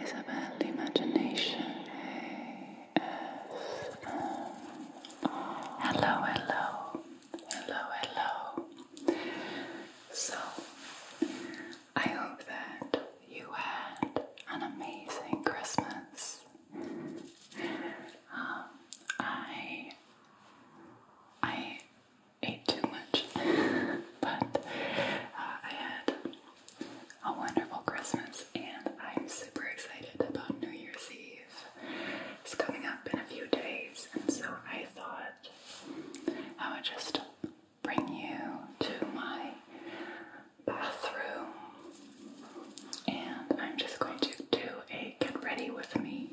is about imagination. Hello, hello, hello, hello. So, I hope that you had an amazing Christmas. Um, I I ate too much, but uh, I had a wonderful Christmas, and I'm super excited about New Year's Eve. It's coming up in a few days, and so I thought I would just bring you to my bathroom, and I'm just going to do a get ready with me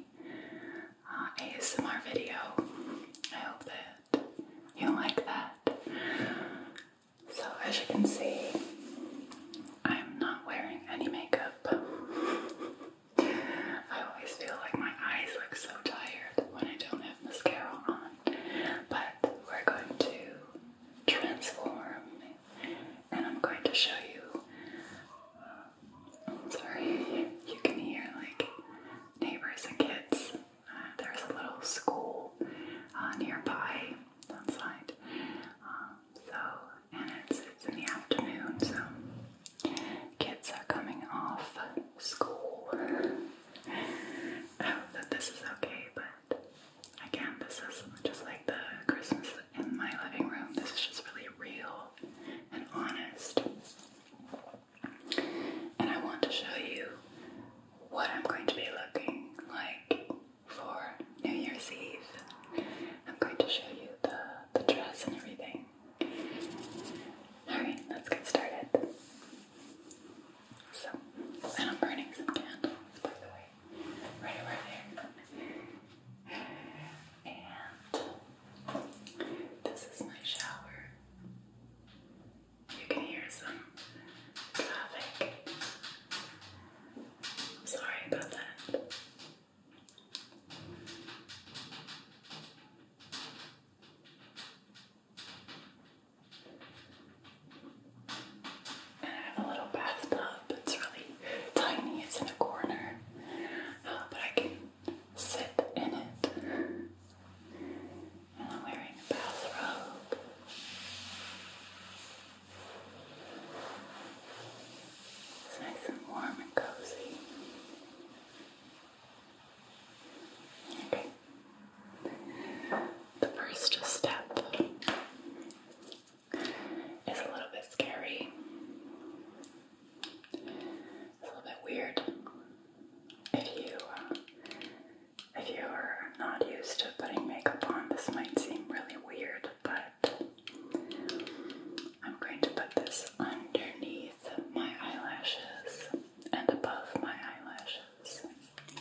uh, ASMR video. I hope that you like that. So, as you can see, I'm not wearing any makeup. I always feel like my eyes look so tired when I don't have mascara on, but we're going to transform and I'm going to show you. Uh, sorry, you can hear like neighbors and kids there's a little school uh, nearby, outside. Um, so, and it's, it's in the afternoon, so kids are coming off school. I hope that this is okay, but again, this is just like the Christmas in my living room. This is just really real and honest. And I want to show you what I'm going to be looking like for New Year's Eve. I'm going to show you the, the dress and everything. Alright, let's get started. So, and I'm burning some candles, by the way, right over there. And this is my shower. You can hear some traffic. Sorry about that. And I have a little bathtub. It's really tiny. It's in a corner, uh, but I can sit in it wearing a bathrobe. It's nice and warm and cozy. Okay. The first step is a little bit scary. a little bit weird. If you uh, if you are not used to putting makeup on, this might seem really weird, but I'm going to put this underneath my eyelashes and above my eyelashes.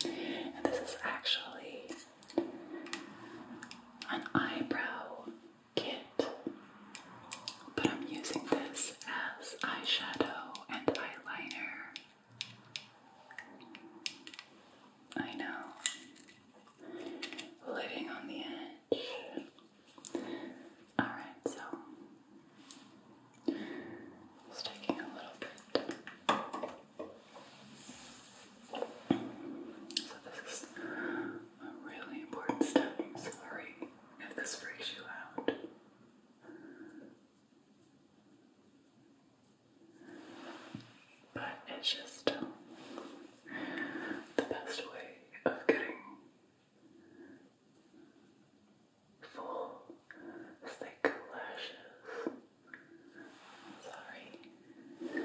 And this is actually an eyebrow kit, but I'm using this as eyeshadow and eyeliner. I know. Living on the edge. Alright, so just taking a little bit. So this is a really important step. sorry if this freaks you out. But it's just the best way of getting full, thick lashes. sorry.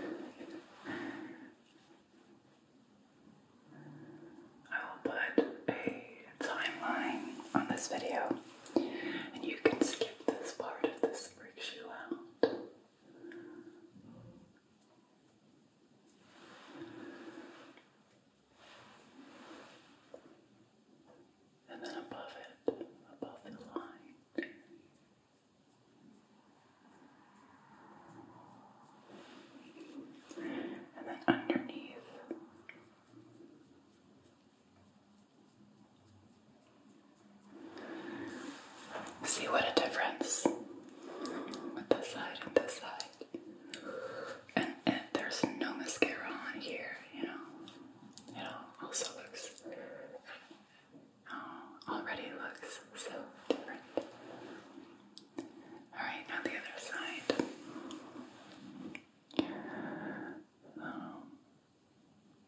I will put a timeline on this video and you can skip this part if this freaks you out. And then above it, above the line. And then underneath, See what a difference this side and this side. And, and there's no mascara on here, you know. It also looks, oh, already looks so different. Alright, now the other side. Um,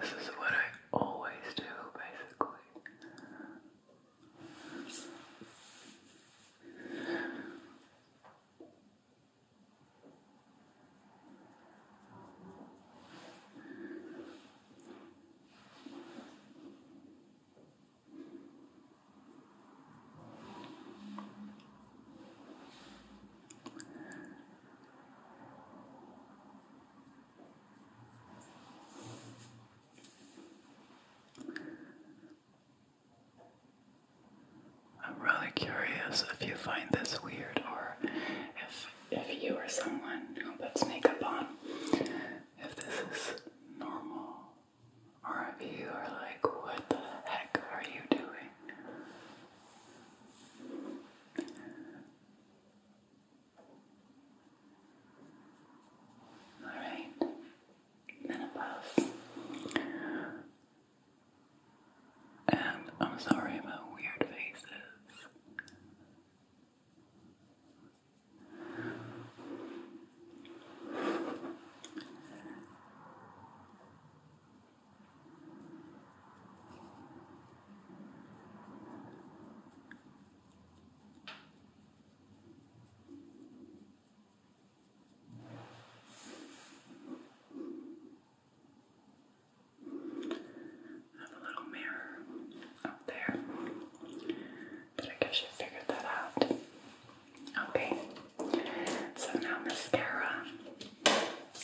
This is what I always do, basically. I'm really curious if you find this weird or if if you or someone who puts makeup on, if this is normal or if you are like, what the heck are you doing? Alright, then And I'm sorry about weird faces have a little mirror up there. But I guess you figured that out. Okay. So now mascara.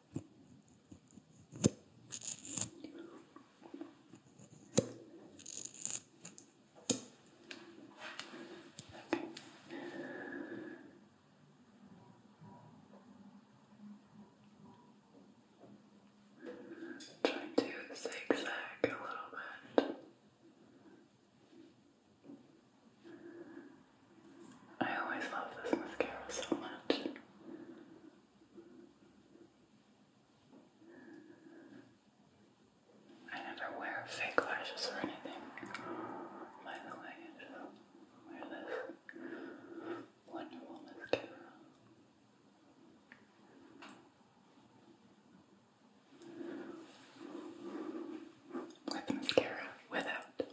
Okay. Try to zigzag a little bit. I always love this mascara so much. I never wear fake lashes or anything. By the way, wear this Wonder mascara. With mascara, without.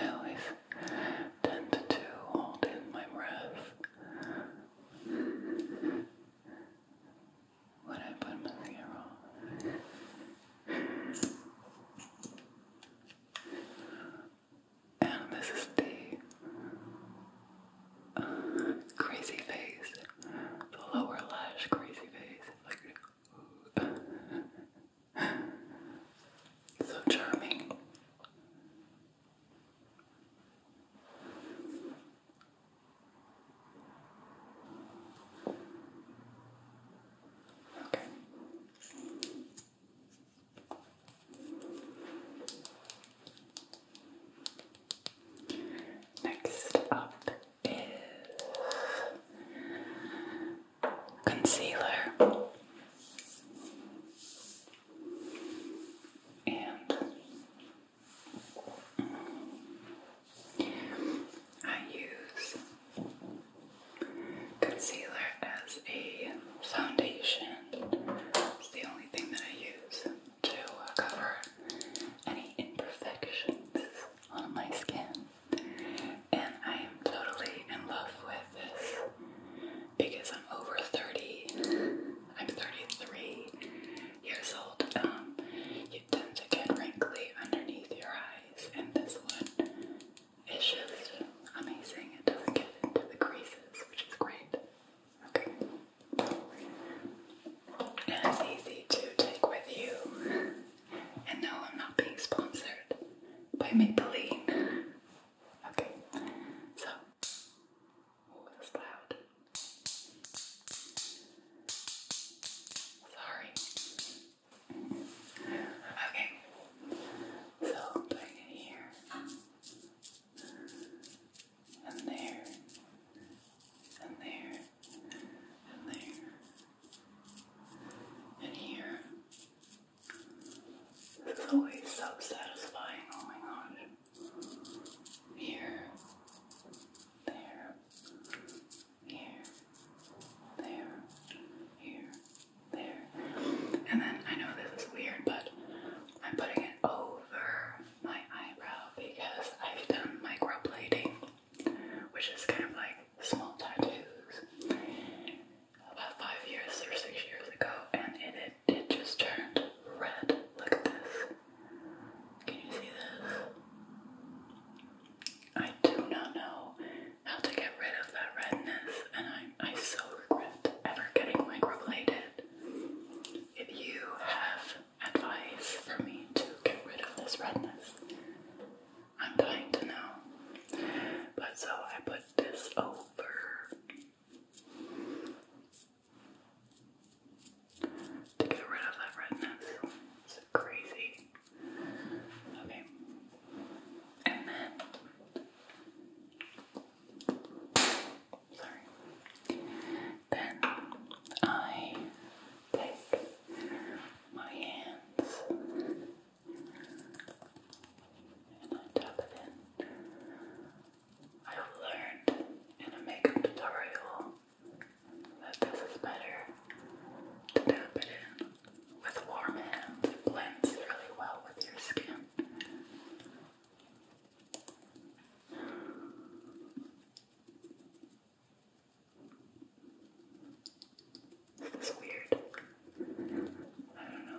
I always tend to hold in my breath would I put mascara on? And this is the uh, crazy face, the lower lash crazy face. Like, so charming. Okay. Next up is concealer and I use concealer as a foundation. It's the only thing that I use to cover any imperfections on my skin. And I am totally in love with this because I'm over 30. I'm 33 years old. Um, you tend to get wrinkly underneath your eyes, and this one is just amazing. It doesn't get into the creases, which is great. Okay. And it's easy to take with you. And no, I'm not being sponsored by Maybelline. Okay, so Oh, that's loud. Sorry. Okay. So here. And there. And there. And there. And here. This always so satisfying, oh my gosh here, there, here, there, here, there. And then I know this is weird, but I'm putting it over my eyebrow because I've done microblading, which is kind of like small tattoos about five years or six years ago, and it it, just turned red. Look at this. Can you see this? I do not know how to get rid of that redness, and I, I so regret ever getting microbladed. If you have advice for me to get rid of this redness, I'm dying to know. But so I put this over to get rid of that redness. It's crazy. Okay. And then, sorry. Then I take my hands and I tap it in. I learned in a makeup tutorial that this is better to tap it in with warm hands. blends really well with your skin. This is weird. I don't know.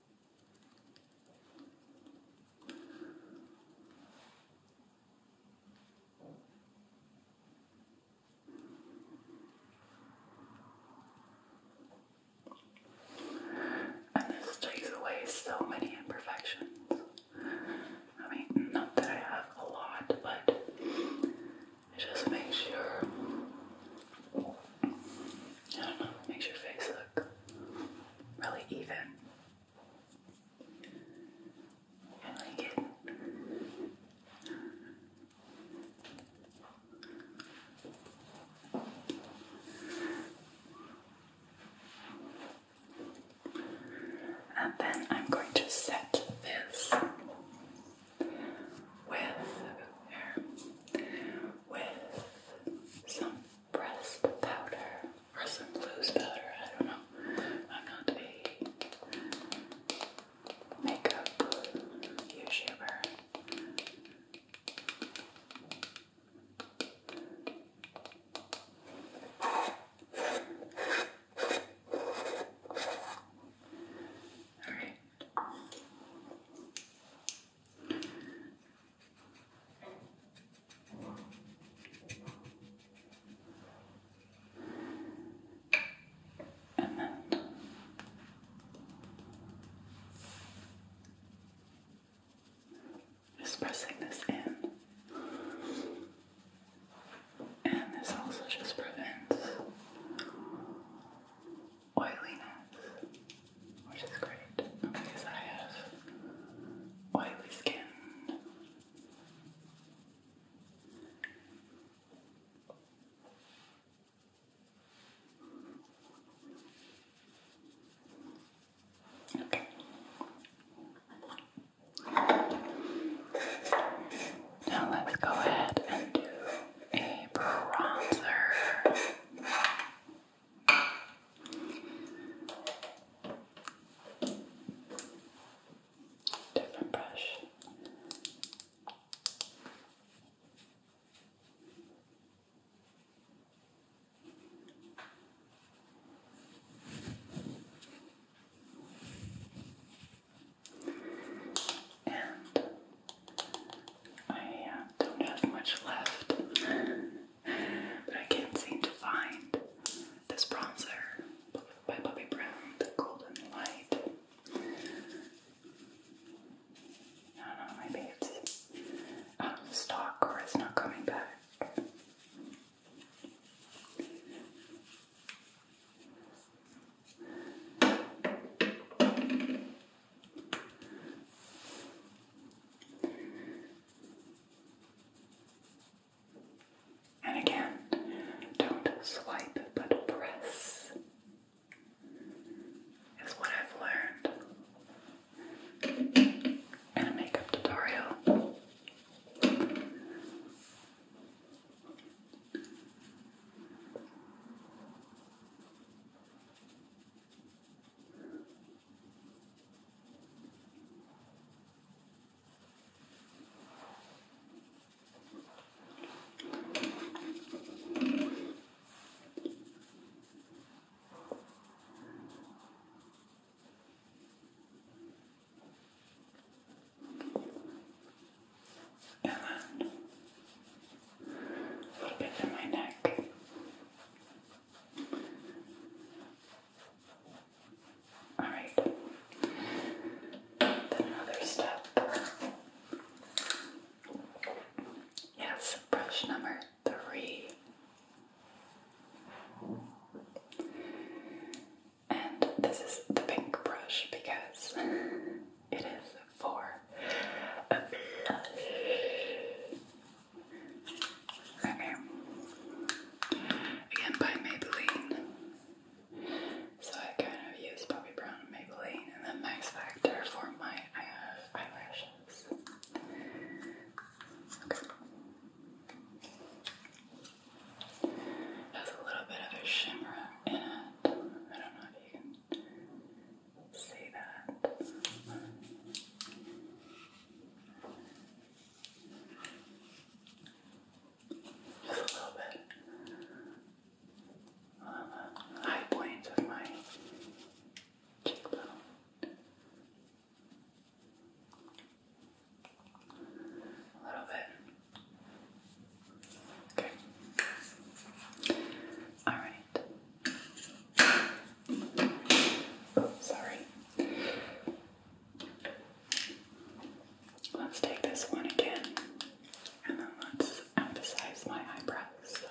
And this takes away so many imperfections. I mean, not that I have a lot, but it just makes your, I don't know, makes your face look really even. And then I'm going to set this with, with some pressed powder or some loose powder. I don't know. I'm not a makeup YouTuber. Alright. And then just pressing this in, and this also just prevents oiliness, which is great because I have oily skin. Okay. Now let's go ahead and do a bronzer. Different brush. And I don't have much left but I can't seem to find this bronzer by Bobbi Brown, the Golden Light. I don't know, maybe it's stock or it's not coming back. And again, don't swipe but press, is what I've learned in a makeup tutorial. And then a little bit in my neck. Alright. Then another step. Yes, brush number three. And this is the pink brush because it is for blush. Okay. Again, by Maybelline. So I kind of use Bobbi Brown Maybelline and then Max Factor for my uh, eyelashes. Okay. Has a little bit of a shimmer in it. I don't know if you can see that. Just a little bit high points of my cheekbone. A little bit. Okay. Alright. Sorry. Let's take this one again and then let's emphasize my eyebrows.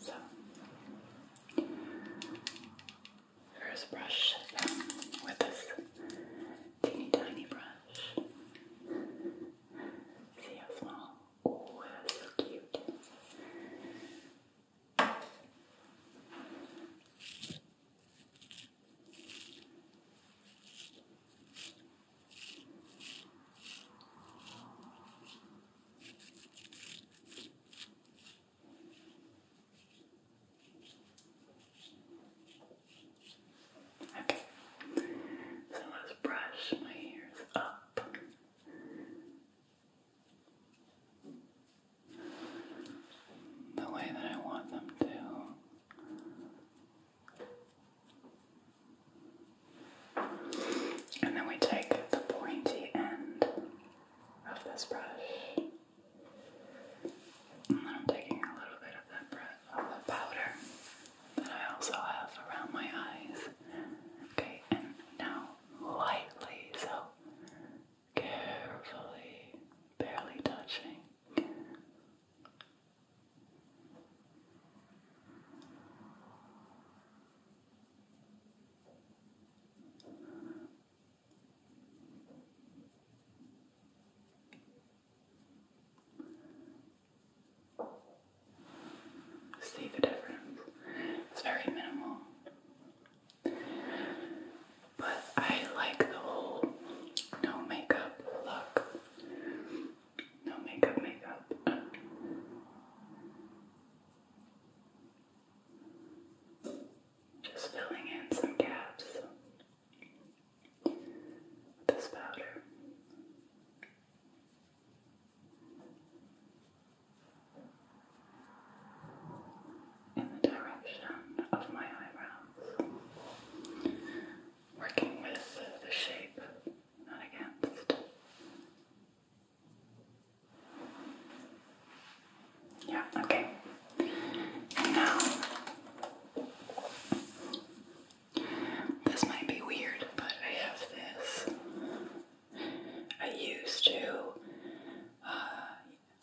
So, first brush with this teeny tiny brush. See how small? Oh, so cute. Okay, so let's brush my ears up the way that I want them to. And then we take the pointy end of this brush. And then I'm taking a little bit of that powder that I also have around my eyes. Okay, and now lightly, so carefully, barely touching. See the difference? It's very minimal. But I like the whole no makeup look. No makeup, makeup. Just filling in some gaps with this powder in the direction of my eyebrows, working with the shape, not against. Yeah, okay. now, this might be weird, but I have this I used to uh,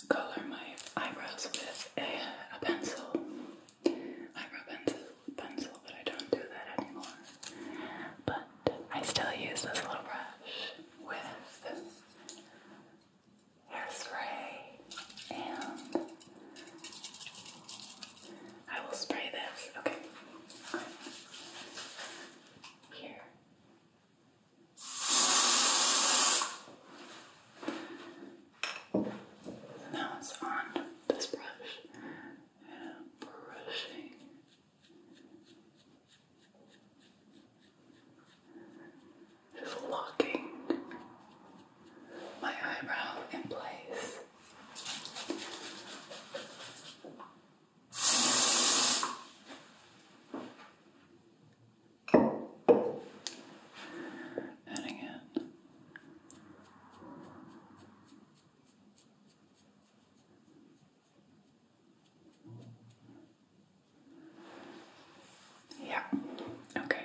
color my eyebrows with a, a pencil, eyebrow pencil, pencil, but I don't do that anymore. But I still use this little brush with hairspray, and I will spray this. Okay. Here. Now it's on this brush and brushing. Just locking my eyebrow in place. And again. Yeah. Okay.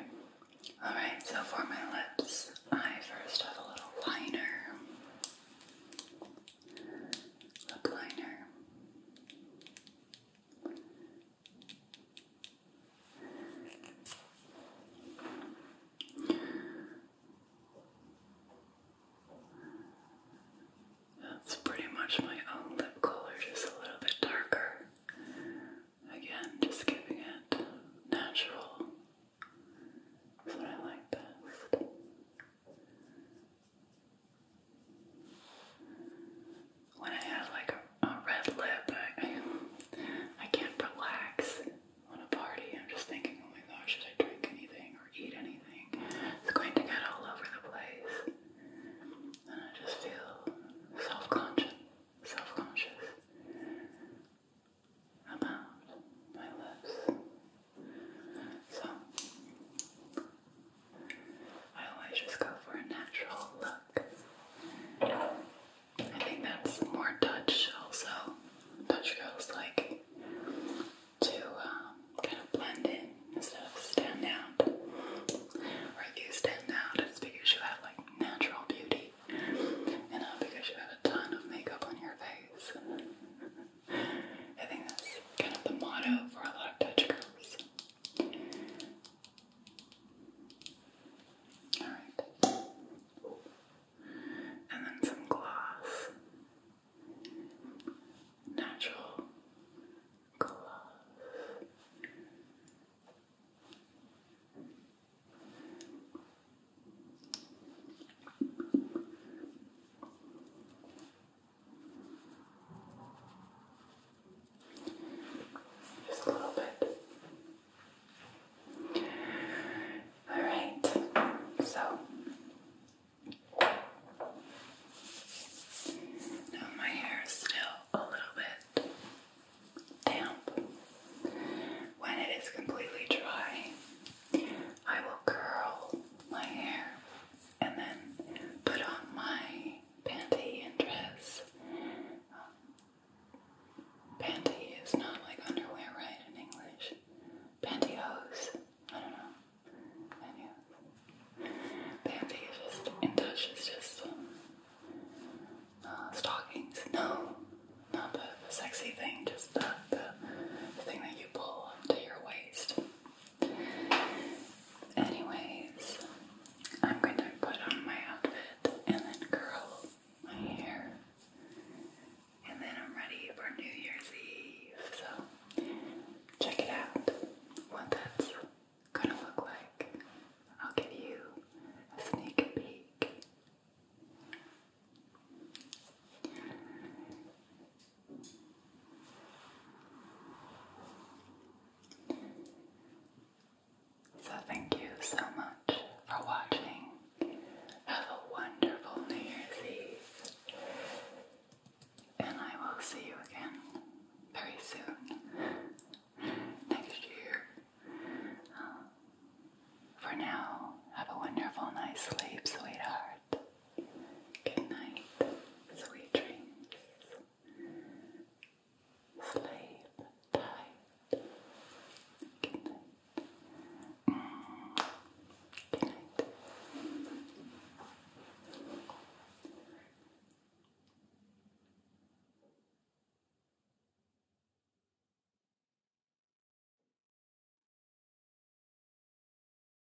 All right. So for my lips, I first have a little liner lip liner. That's pretty much my own lip color, just a little bit darker. Again, just giving it natural. That's what I like best. When I have like a, red lip, I can't relax on a party. I'm just thinking, oh my gosh, should I drink anything or eat anything? It's going to get all over the place. And I just feel self-conscious, self-conscious about my lips so I always just go for a natural look. I think that's more Dutch also. Dutch girls like to um, kind of blend in instead of stand out. Or if you stand out, it's because you have like natural beauty and not because you have a ton of makeup on your face. I think that's kind of the motto for a lot of Dutch girls. Alright. And then some gloss. Natural gloss. Just a little bit. All right, so now my hair is still a little bit damp. When it is completely dry, I will curl my hair and then put on my panty and dress. Um, panty is not like underwear, right, in English? Pantyhose. I don't know. Pantyhose. Panty is just, in Dutch, it's just um, uh, stockings. No, not the, the sexy thing, just the, the, the thing that you pull up to your waist. Anyways, I'm going to put on my outfit and then curl my hair. And then I'm ready for New Year's Eve. So check it out. What that's gonna look like. I'll give you a sneak peek. So, thank you so much for watching. Have a wonderful New Year's Eve, and I will see you again very soon next year. Uh, for now, have a wonderful night's sleep, sweetheart. Good night, sweet dreams. Sleep tight. Good night. Good night.